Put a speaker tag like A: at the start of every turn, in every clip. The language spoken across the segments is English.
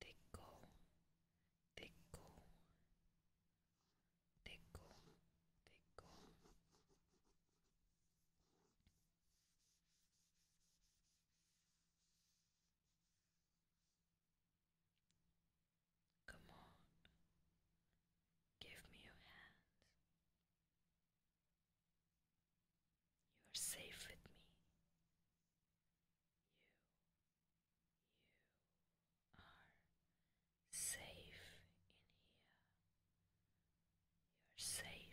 A: Tickle, tickle, tickle, tickle. Come on, give me your hand. You are safe with me. You, you are safe in here. You are safe.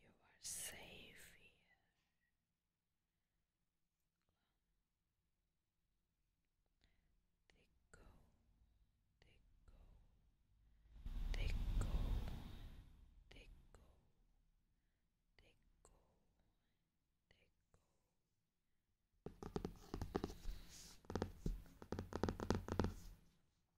A: You are safe here. They go, they go, they go, they go, they go, they go.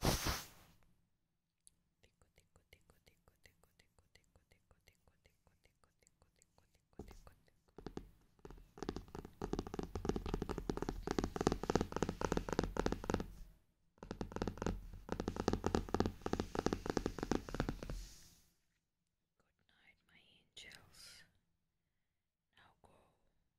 B: Good night, my angels. Now go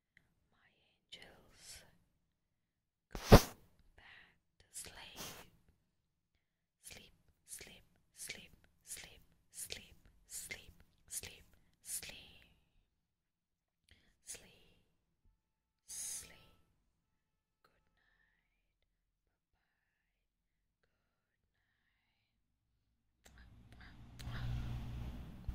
C: My angels, go back to sleep. Sleep, sleep, sleep, sleep, sleep, sleep, sleep, sleep. Sleep, sleep. Good night. Bye bye. Good night.